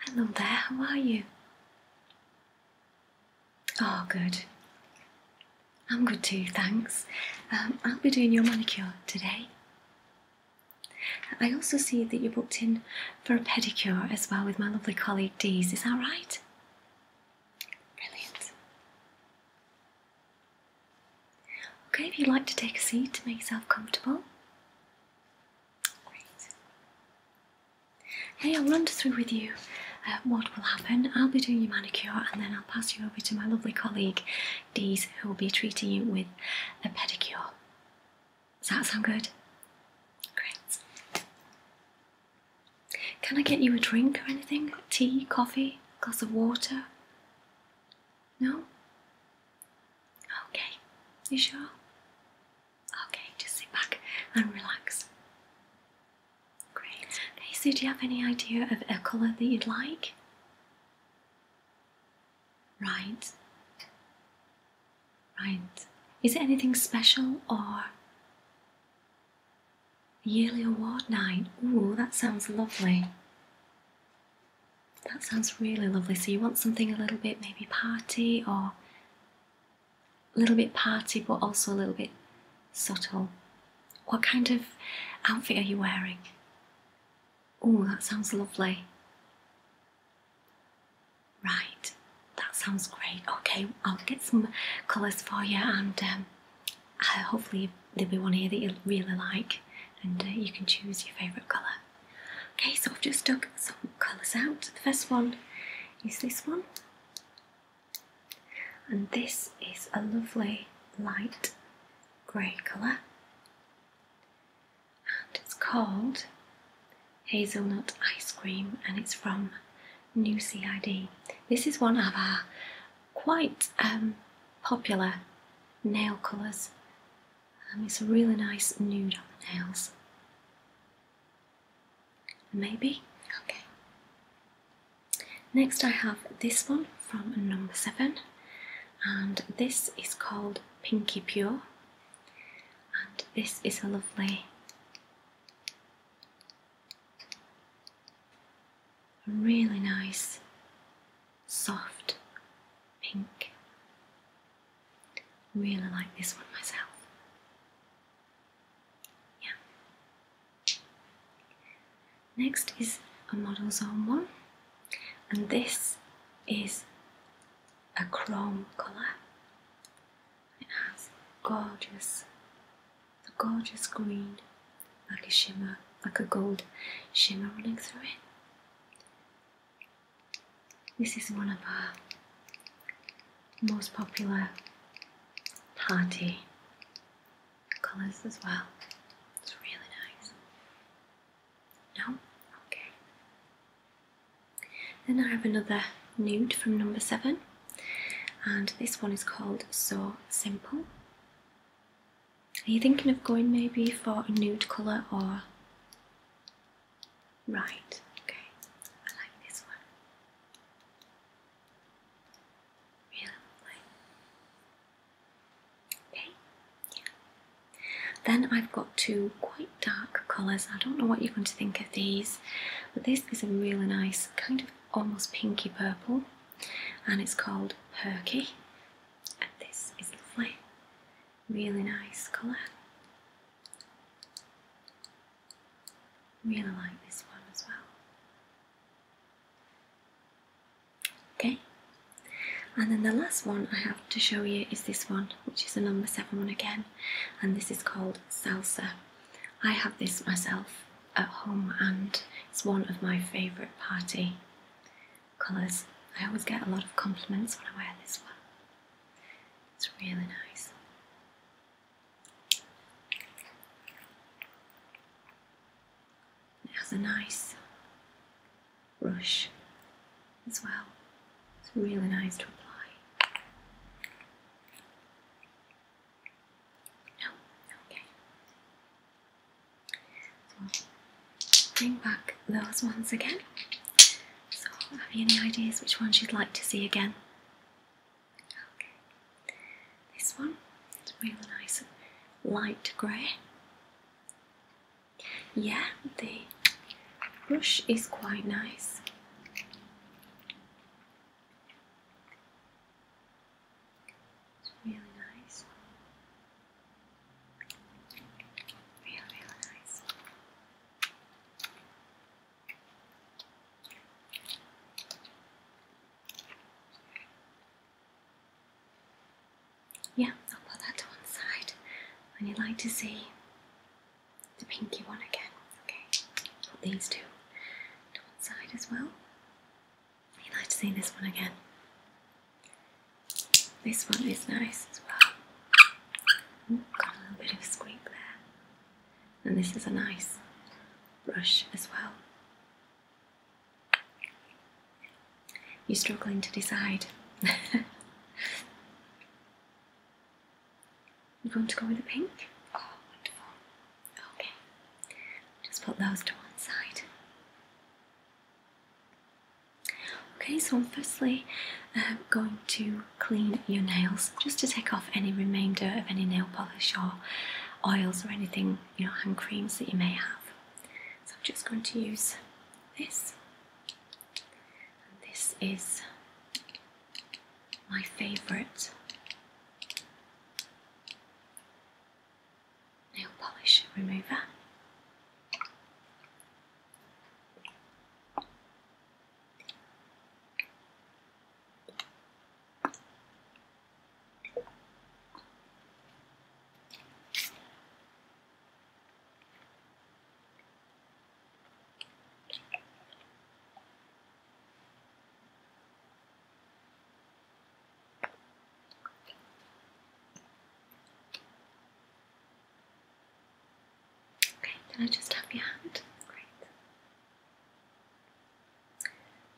Hello there, how are you? Oh, good. I'm good too, thanks. Um, I'll be doing your manicure today. I also see that you booked in for a pedicure as well with my lovely colleague Dees, is that right? Brilliant. Okay, if you'd like to take a seat to make yourself comfortable. Great. Hey, I'll run through with you uh, what will happen. I'll be doing your manicure and then I'll pass you over to my lovely colleague Dee, who will be treating you with a pedicure. Does that sound good? Great. Can I get you a drink or anything? Tea, coffee, glass of water? No? Okay, you sure? Okay, just sit back and relax. Great. Okay, so do you have any idea of a colour that you'd like? Right. Right. Is it anything special or yearly award night. Ooh, that sounds lovely. That sounds really lovely. So you want something a little bit maybe party or a little bit party but also a little bit subtle. What kind of outfit are you wearing? Oh, that sounds lovely. Right, that sounds great. Okay, I'll get some colours for you and um, hopefully there'll be one here that you really like and uh, you can choose your favourite colour. Okay, so I've just dug some colours out. The first one is this one. And this is a lovely light grey colour. And it's called Hazelnut Ice Cream and it's from new CID. This is one of our quite um, popular nail colours. Um, it's a really nice nude on the nails. Maybe? Okay. Next I have this one from number 7 and this is called Pinky Pure and this is a lovely a really nice soft pink. Really like this one myself. Yeah. Next is a Model Zone one, and this is a chrome colour. It has gorgeous, the gorgeous green, like a shimmer, like a gold shimmer running through it. This is one of our most popular party colours as well. It's really nice. No? Okay. Then I have another nude from number seven and this one is called So Simple. Are you thinking of going maybe for a nude colour or? Right, okay, I like this one. Really Okay, yeah. Then I've got two quite dark colours. I don't know what you're going to think of these, but this is a really nice kind of almost pinky purple and it's called Perky and this is lovely really nice colour really like this one as well okay and then the last one I have to show you is this one which is the number seven one again and this is called Salsa I have this myself at home and it's one of my favourite party colours. I always get a lot of compliments when I wear this one. It's really nice. It has a nice brush as well. It's really nice to apply. No, oh, okay. bring back those ones again. So have you any ideas which ones you'd like to see again? Okay. This one It's really nice and light grey. Yeah, the brush is quite nice. It's really nice. Really, really nice. Yeah, I'll put that to one side and would like to see the pinky one again. Okay, these two to one side as well. I'd like to see this one again. This one is nice as well. got a little bit of a there. And this is a nice brush as well. You're struggling to decide. You're going to go with the pink? Oh, wonderful. Okay. Just put those to one side. Okay, so I'm firstly um, going to clean your nails just to take off any remainder of any nail polish or oils or anything, you know, hand creams that you may have. So I'm just going to use this. And this is my favourite nail polish remover. Okay, can I just have your hand? Great.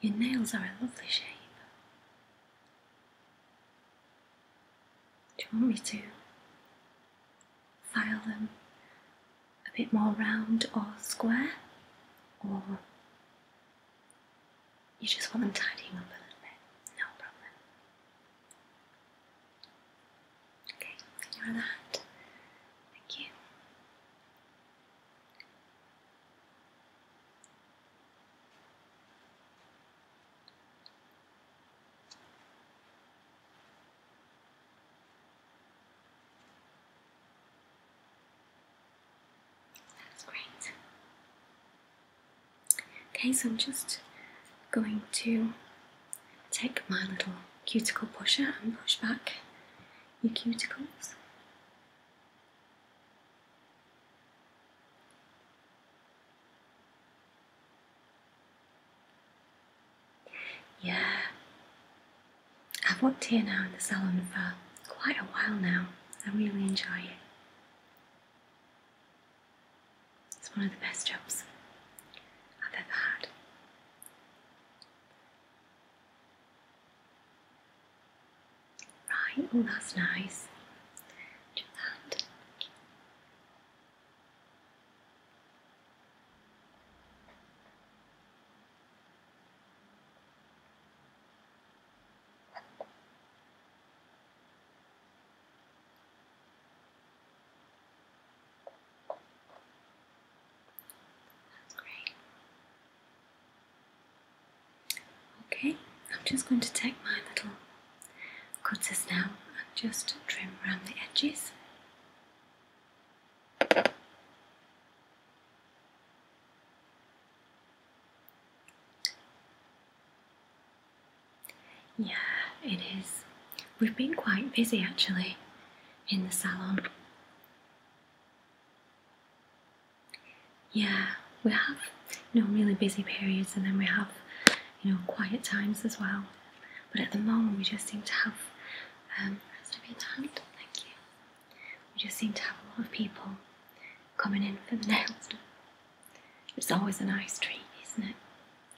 Your nails are a lovely shape. Do you want me to file them a bit more round or square, or you just want them tidying up a little bit, no problem. Okay, your other hand. Thank you. That's great. Okay, so I'm just going to take my little cuticle pusher and push back your cuticles. Yeah, I've worked here now in the salon for quite a while now. I really enjoy it. It's one of the best jobs I've ever had. Right, oh that's nice. Do that. That's great. Okay, I'm just going to take my little cutters now and just trim around the edges. Yeah, it is. We've been quite busy actually in the salon. Yeah, we have you know really busy periods and then we have you know quiet times as well. But at the moment we just seem to have um rest of your hand. Thank you. We just seem to have a lot of people coming in for the nails. It's always a nice treat, isn't it?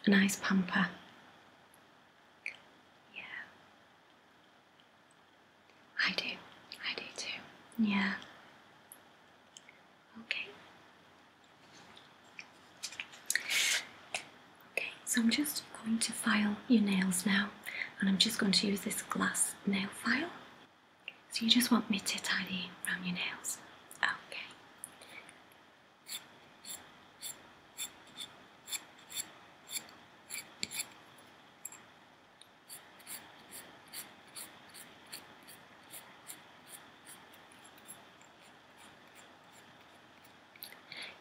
A nice pamper. Yeah. I do. I do too. Yeah. Okay. Okay, so I'm just going to file your nails now and I'm just going to use this glass nail file. So you just want me to tidy round your nails? Okay.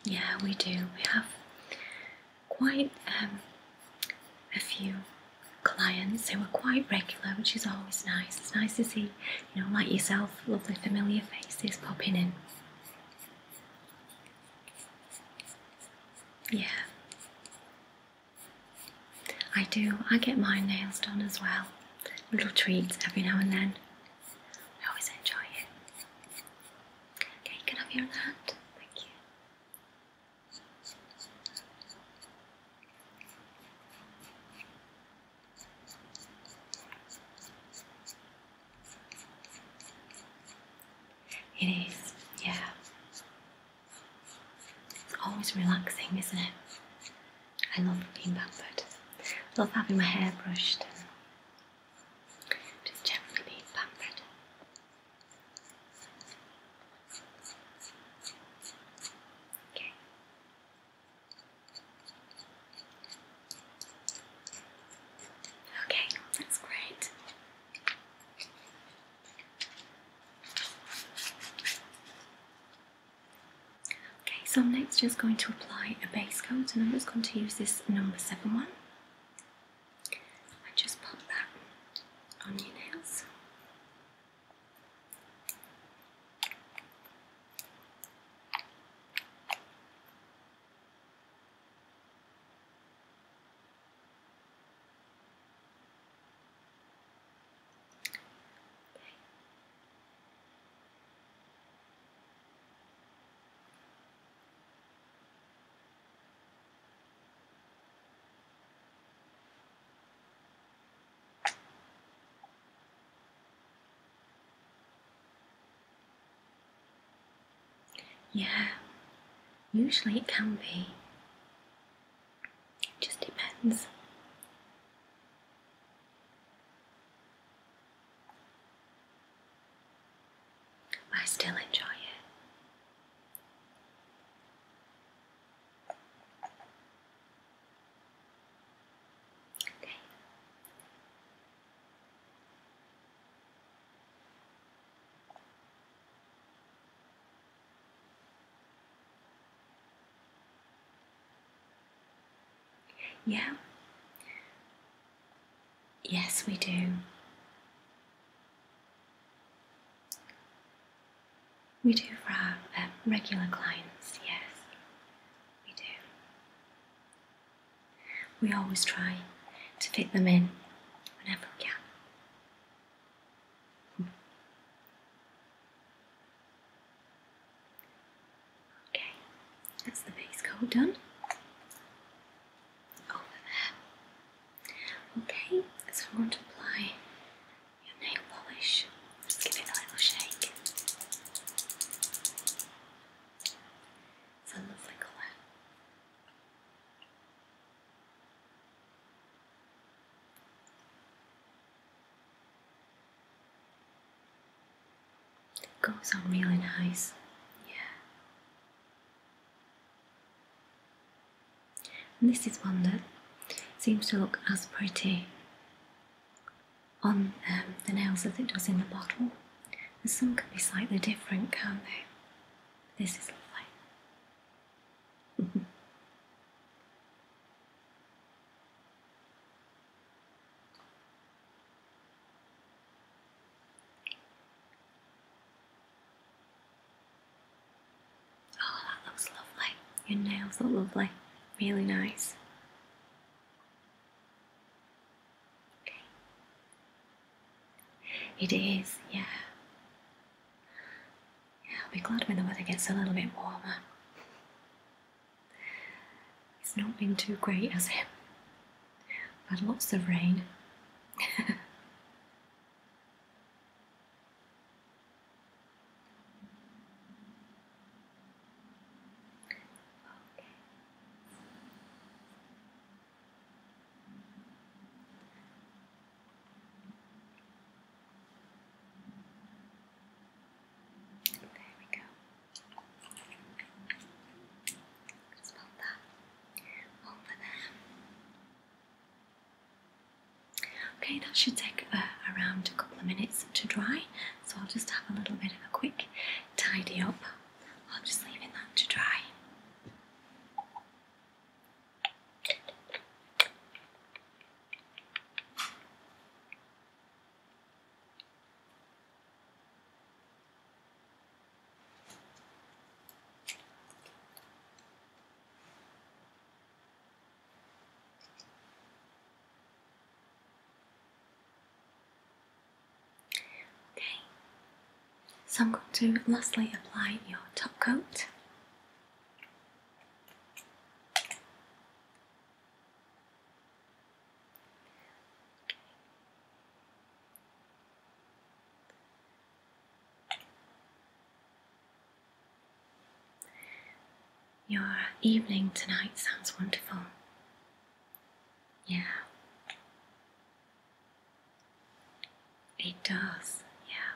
Yeah, we do. We have quite um, a few clients who are quite regular, which is always nice. It's nice to see, you know, like yourself, lovely familiar faces popping in. Yeah. I do. I get my nails done as well. Little treats every now and then. I always enjoy it. Okay, you can have your Thank you. It is, yeah. It's always relaxing, isn't it? I love being pampered. I love having my hair brushed just generally being pampered. Okay. Okay, that's great. Okay, so I'm next just going to apply a base coat and I'm just going to use this number 7 one and just pop that on your nails. Yeah, usually it can be. It just depends. I still enjoy it. Okay. Yeah, Yes, we do. We do for our um, regular clients, yes, we do. We always try to fit them in whenever we can. Okay, that's the base coat done over there. Okay, so i want to apply your nail polish. give it a little shake. It's a lovely colour. It goes on really nice. Yeah. And this is one that seems to look as pretty on um, the nails as it does in the bottle. And some can be slightly different, can't they? This is lovely. Oh, that looks lovely. Your nails look lovely. Really nice. It is, yeah. Yeah, I'll be glad when the weather gets a little bit warmer. It's not been too great, as it? but lots of rain. Okay. There we go. Smell that over there. Okay, that should take uh, around a couple of minutes to dry, so I'll just have a little bit of a quick tidy up. i will just leaving that to dry. Okay, so I'm going to lastly apply your top coat. Your evening tonight sounds wonderful. Yeah. It does, yeah.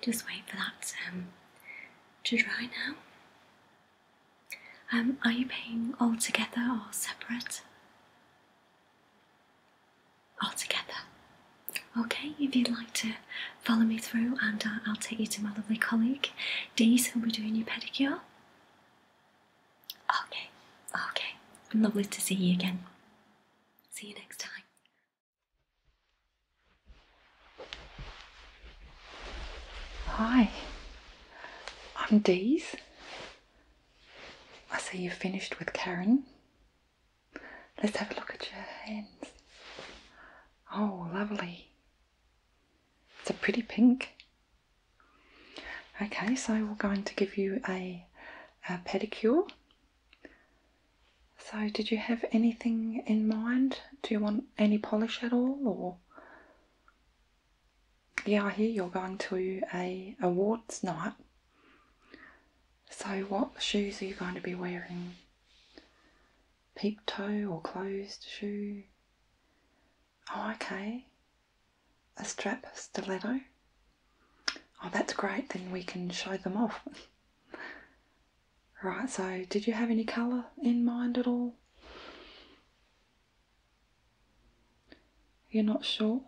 just wait for that um, to dry now. Um, are you paying all together or separate? All together. Okay, if you'd like to follow me through, and uh, I'll take you to my lovely colleague, Dee's, who'll be doing your pedicure. Okay, okay. Lovely to see you again. See you next time. Hi, I'm Dees. I see you've finished with Karen. Let's have a look at your hands. Oh, lovely. It's a pretty pink. Okay, so we're going to give you a pedicure. So, did you have anything in mind? Do you want any polish at all, or? Yeah, I hear you're going to a awards night. So, what shoes are you going to be wearing? Peep toe or closed shoe? Oh, okay a strap stiletto. Oh, that's great, then we can show them off. right, so did you have any colour in mind at all? You're not sure?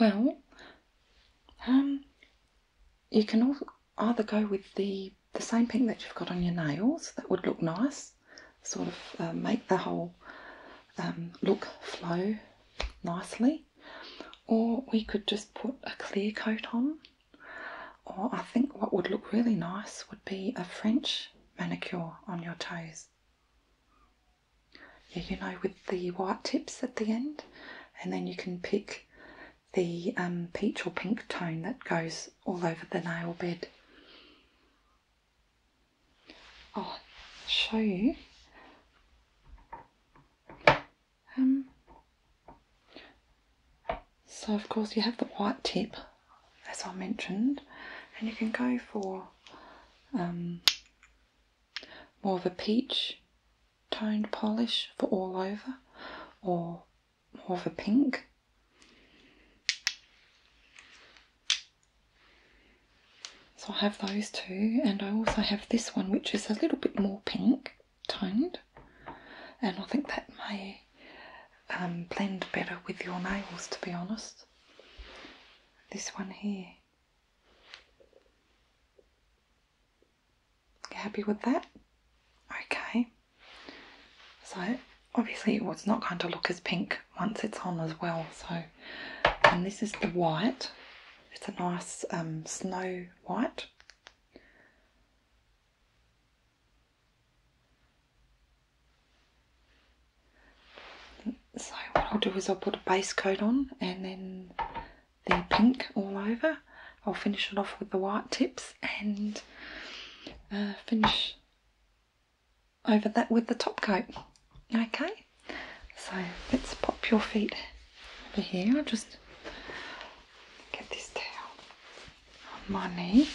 Well, um, you can also either go with the, the same pink that you've got on your nails, that would look nice, sort of uh, make the whole um, look flow nicely. Or we could just put a clear coat on. Or I think what would look really nice would be a French manicure on your toes. Yeah, you know, with the white tips at the end, and then you can pick the um, peach or pink tone that goes all over the nail bed. I'll show you. Um, so of course you have the white tip, as I mentioned, and you can go for um, more of a peach toned polish for all over, or more of a pink. So I have those two, and I also have this one which is a little bit more pink toned, and I think that may um, blend better with your nails to be honest. This one here. You happy with that? Okay. So obviously it's not going to look as pink once it's on as well, so and this is the white. It's a nice um, snow white. So what I'll do is I'll put a base coat on and then the pink all over. I'll finish it off with the white tips and uh, finish over that with the top coat. Okay, so let's pop your feet over here. I'll just get this towel on my knee.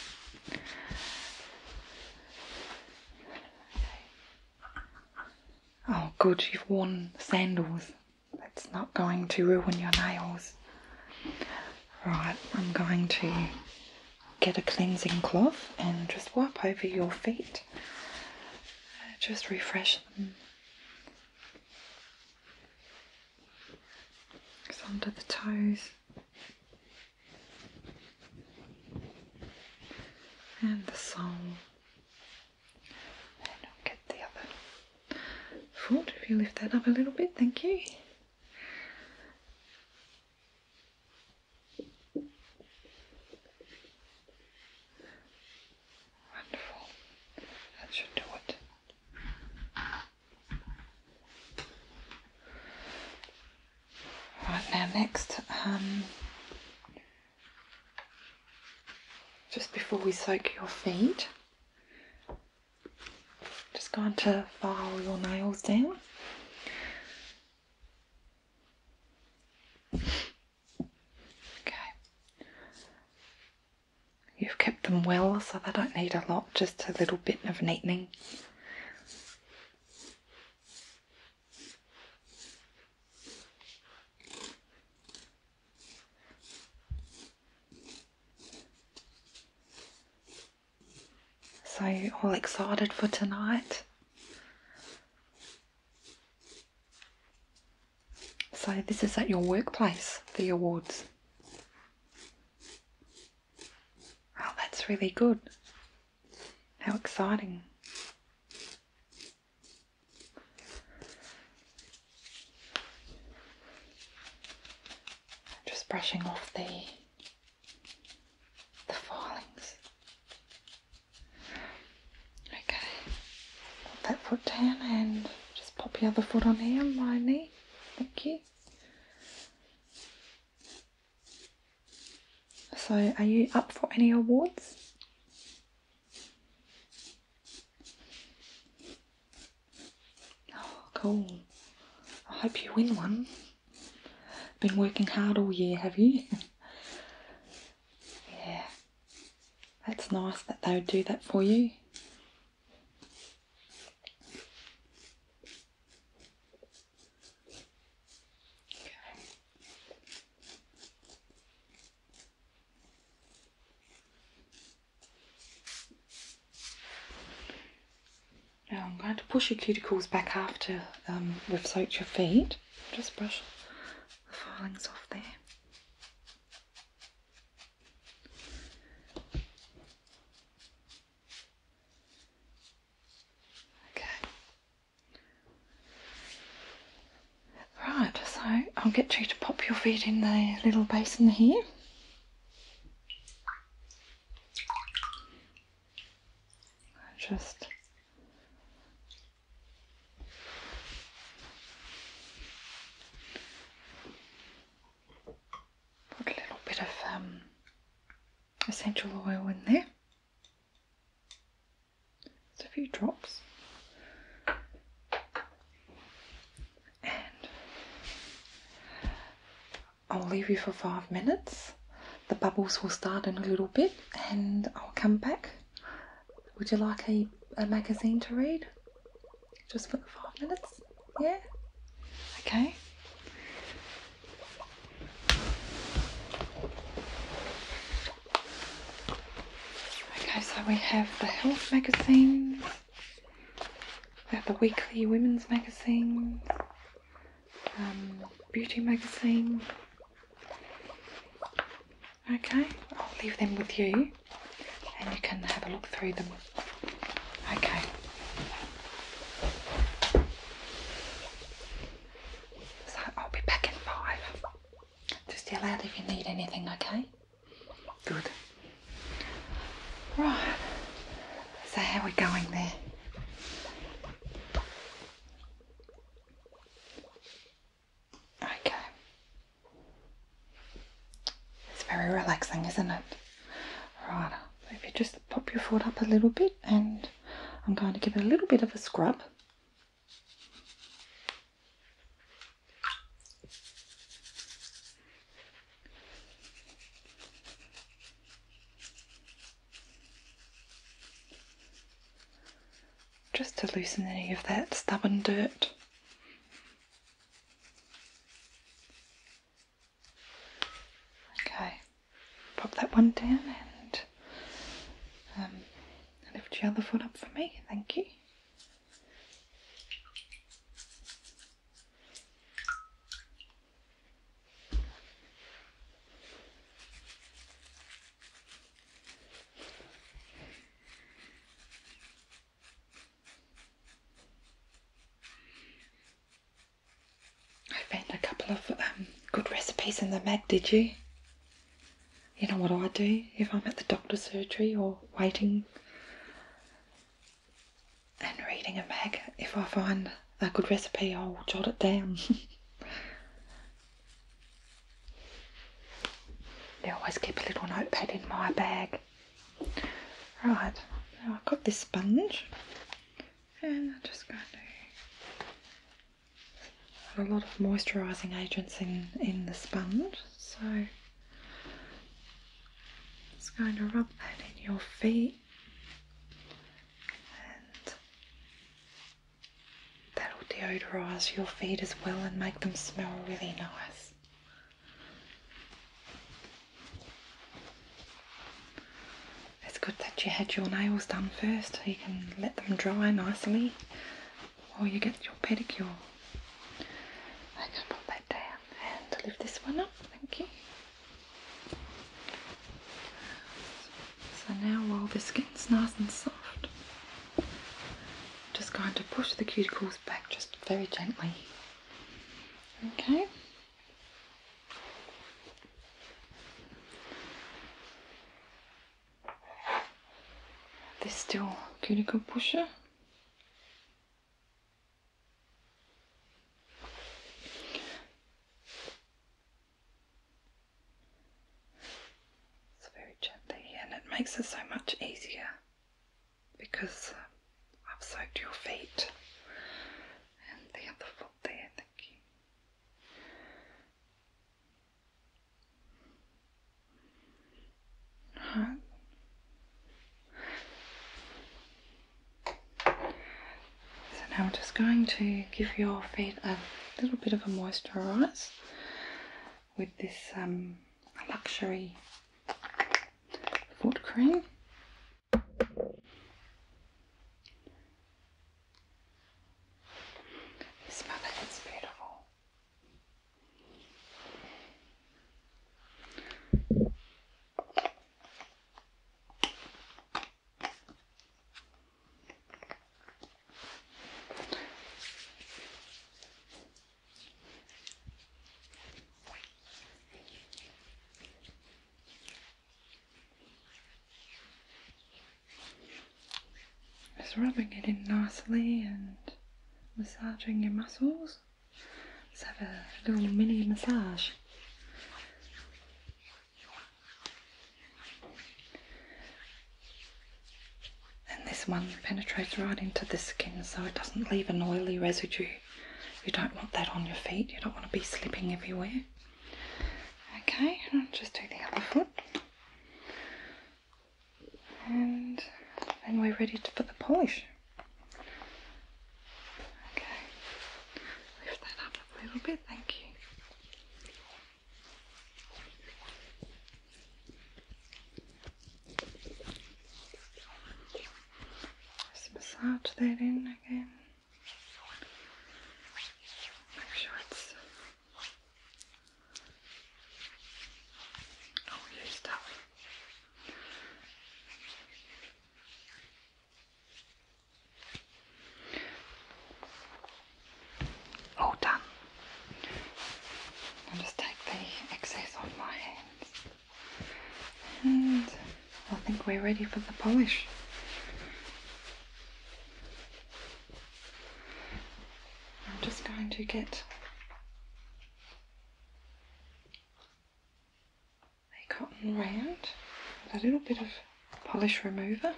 Oh, good, you've worn sandals. That's not going to ruin your nails. Right, I'm going to get a cleansing cloth and just wipe over your feet just refresh them. under the toes and the sole. And i get the other foot if you lift that up a little bit, thank you. Wonderful. That should do it. Right now, next, um, just before we soak your feet, just going to file your nails down. Okay. You've kept them well, so they don't need a lot, just a little bit of neatening. So, all excited for tonight? So this is at your workplace, the awards. Oh, that's really good. How exciting. Just brushing off the the filings. Okay, put that foot down and just pop your other foot on here on my knee. Thank you. So, are you up for any awards? Oh, cool. I hope you win one. Been working hard all year, have you? Yeah, that's nice that they would do that for you. Now I'm going to push your cuticles back after um, we've soaked your feet just brush the filings off there. Okay. Right, so I'll get you to pop your feet in the little basin here. Just a little bit of um, essential oil in there, It's a few drops, and I'll leave you for five minutes the bubbles will start in a little bit and I'll come back. Would you like a, a magazine to read? Just for five minutes? Yeah? Okay. Okay, so we have the health magazines, we have the weekly women's magazines, um, beauty magazine. Okay, I'll leave them with you and you can have a look through them. Okay. So I'll be back in five. Just yell out if you need anything, okay? Good. Right. So how are we going there? Okay. It's very relaxing, isn't it? Right, so if you just pop your foot up a little bit and I'm going to give it a little bit of a scrub. Just to loosen any of that stubborn dirt. Okay, pop that one down and um, lift your other foot up for me. Thank you. I found a couple of um, good recipes in the mag, did you? You know what I do if I'm at the doctor's surgery or waiting and reading a mag? If I find a good recipe, I'll jot it down. I always keep a little notepad in my bag. Right, now I've got this sponge and I'm just going to put a lot of moisturising agents in, in the sponge. So it's going to rub that in your feet That'll deodorize your feet as well and make them smell really nice. It's good that you had your nails done first, so you can let them dry nicely while you get your pedicure. I can put that down and lift this one up, thank you. So now while the skin's nice and soft, I'm just going to push the cuticles back just very gently. Okay. This still cuticle pusher. It's very gently, and it makes it so much easier because um, I've soaked your feet and the other foot there. Thank you. Right. So now I'm just going to give your feet a little bit of a moisturize with this um, luxury foot cream. Smell it, beautiful. Just rubbing it in nicely and massaging your muscles. Let's have a little mini massage. And this one penetrates right into the skin so it doesn't leave an oily residue. You don't want that on your feet, you don't want to be slipping everywhere. Okay, just do the other foot. And then we're ready to put the polish. Okay, lift that up a little bit, thank you massage that in again. Make sure it's all used up. All done. I'll just take the excess off my hands. And I think we're ready for the polish. I'm just going to get a cotton round a little bit of polish remover.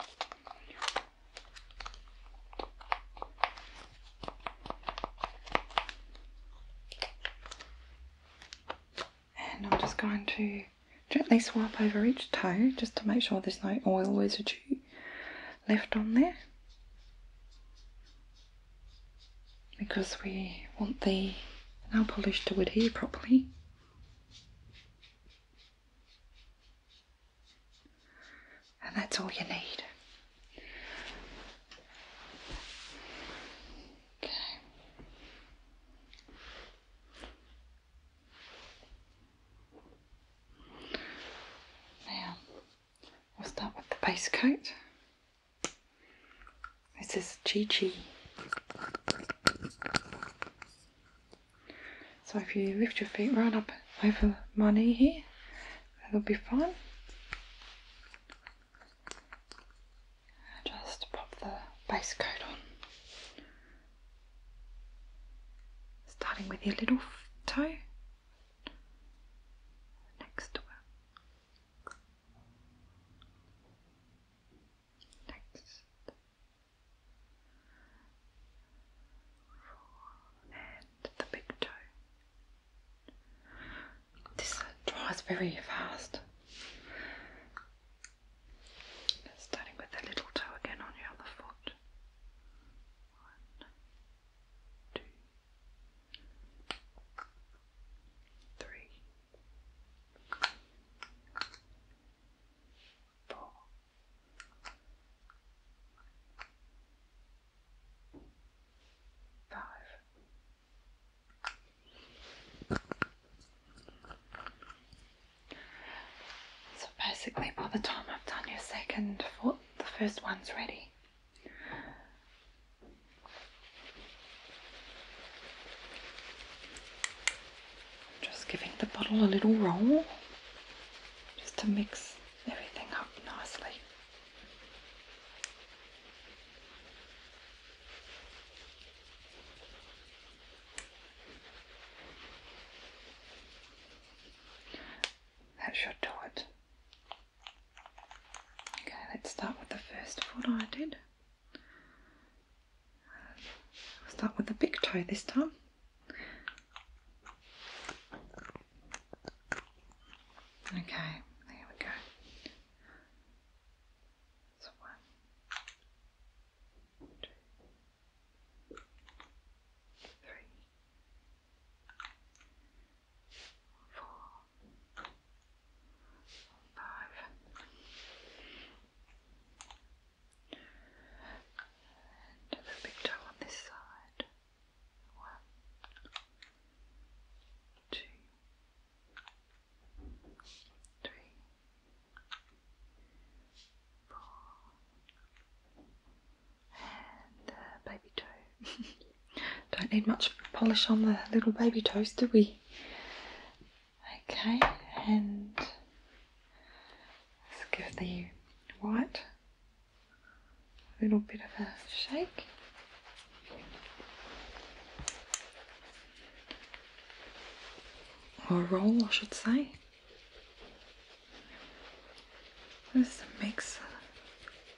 And I'm just going to gently swipe over each toe just to make sure there's no oil residue left on there because we want the nail polish to adhere properly. And that's all you need. Okay. Now, we'll start with the base coat. This is Chi Chi so if you lift your feet right up over my knee here, that'll be fine. Just pop the base coat on. Starting with your little toe next to Next and the big toe. This dries very fast. Starting with the little toe again on your other foot. One, two, three, four, five. So basically, by the time I've done your second foot, the first one's ready. Just giving the bottle a little roll just to mix everything up nicely. That should do it. Okay, let's start with the first foot I did start with the big toe this time. Okay, there we go. So one, two, three, four, five big toe on this side. One, two, three, four, and baby toe. Don't need much polish on the little baby toes, do we? Okay, and Let's give the white a little bit of a shake. Or roll, I should say. This is mix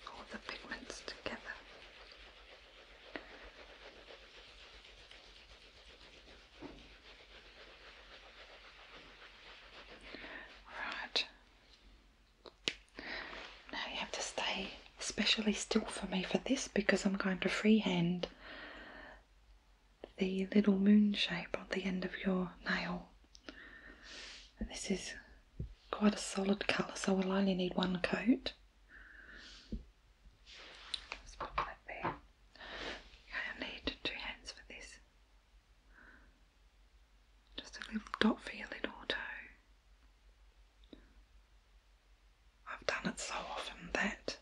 all the pigments together. Right. Now you have to stay especially still for me for this because I'm going to freehand the little moon shape on the end of your nail. And this is quite a solid colour, so i will only need one coat. let put that there. I need two hands for this. Just a little dot for your little toe. I've done it so often that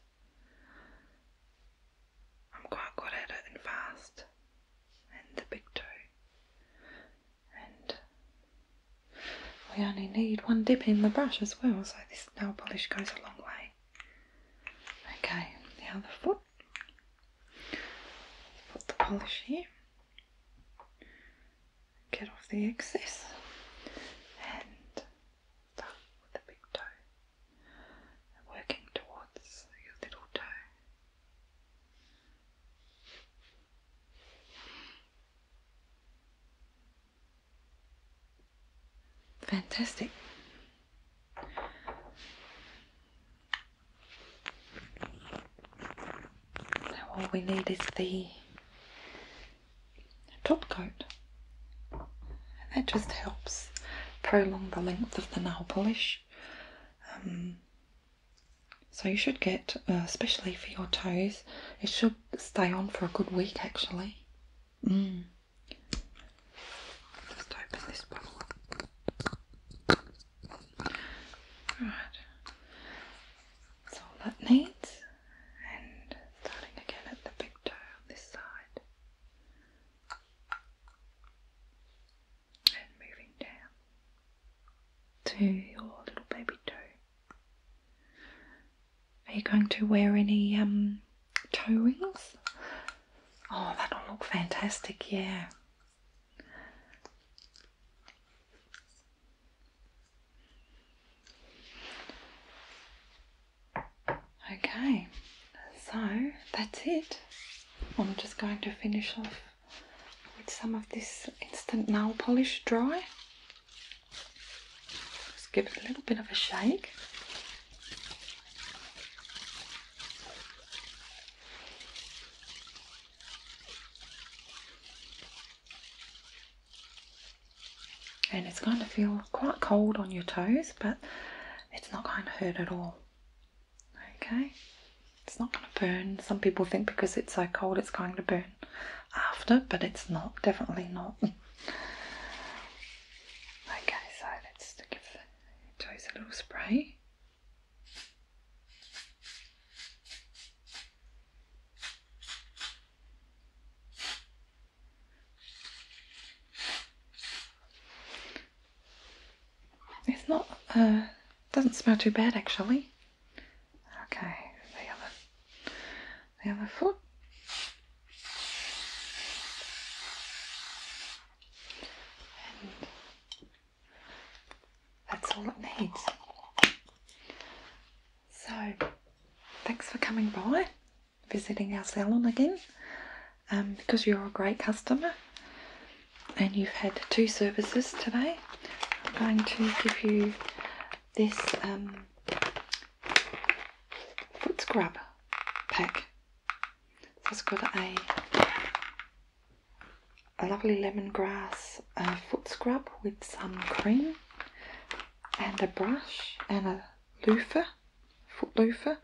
I'm quite good at it and fast. And the big toe. And we only need one dip in the brush as well, so this nail polish goes a long way. Okay, the other foot. put the polish here. Get off the excess and start with the big toe. Working towards your little toe. Fantastic. Now all we need is the top coat. And that just helps prolong the length of the nail polish. Um, so you should get, uh, especially for your toes, it should stay on for a good week actually. Mm. Just open this bottle up. That's all that needs. And starting again at the big toe on this side. And moving down to your little baby toe. Are you going to wear any um toe rings. Oh, that'll look fantastic, yeah. Okay, so that's it. I'm just going to finish off with some of this instant nail polish dry. Just give it a little bit of a shake and it's going to feel quite cold on your toes but it's not going to hurt at all okay it's not going to burn some people think because it's so cold it's going to burn after but it's not definitely not okay so let's give Toes a little spray. It's not, uh, doesn't smell too bad actually. Okay, the other, the other foot that's all it needs. So, thanks for coming by, visiting our salon again, um, because you're a great customer and you've had two services today. I'm going to give you this um, foot scrub pack. So it's got a, a lovely lemongrass foot scrub with some cream and a brush and a loofah, foot loofah,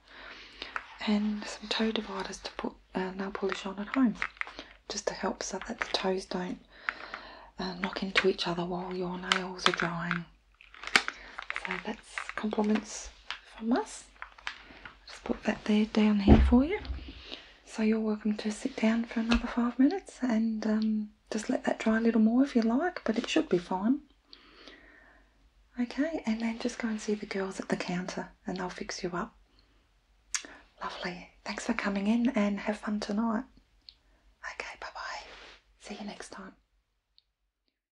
and some toe dividers to put uh, nail polish on at home just to help so that the toes don't uh, knock into each other while your nails are drying. So that's compliments from us. Just put that there down here for you. So you're welcome to sit down for another five minutes and um, just let that dry a little more if you like, but it should be fine. Okay, and then just go and see the girls at the counter and they'll fix you up. Lovely. Thanks for coming in and have fun tonight. Okay, bye bye. See you next time.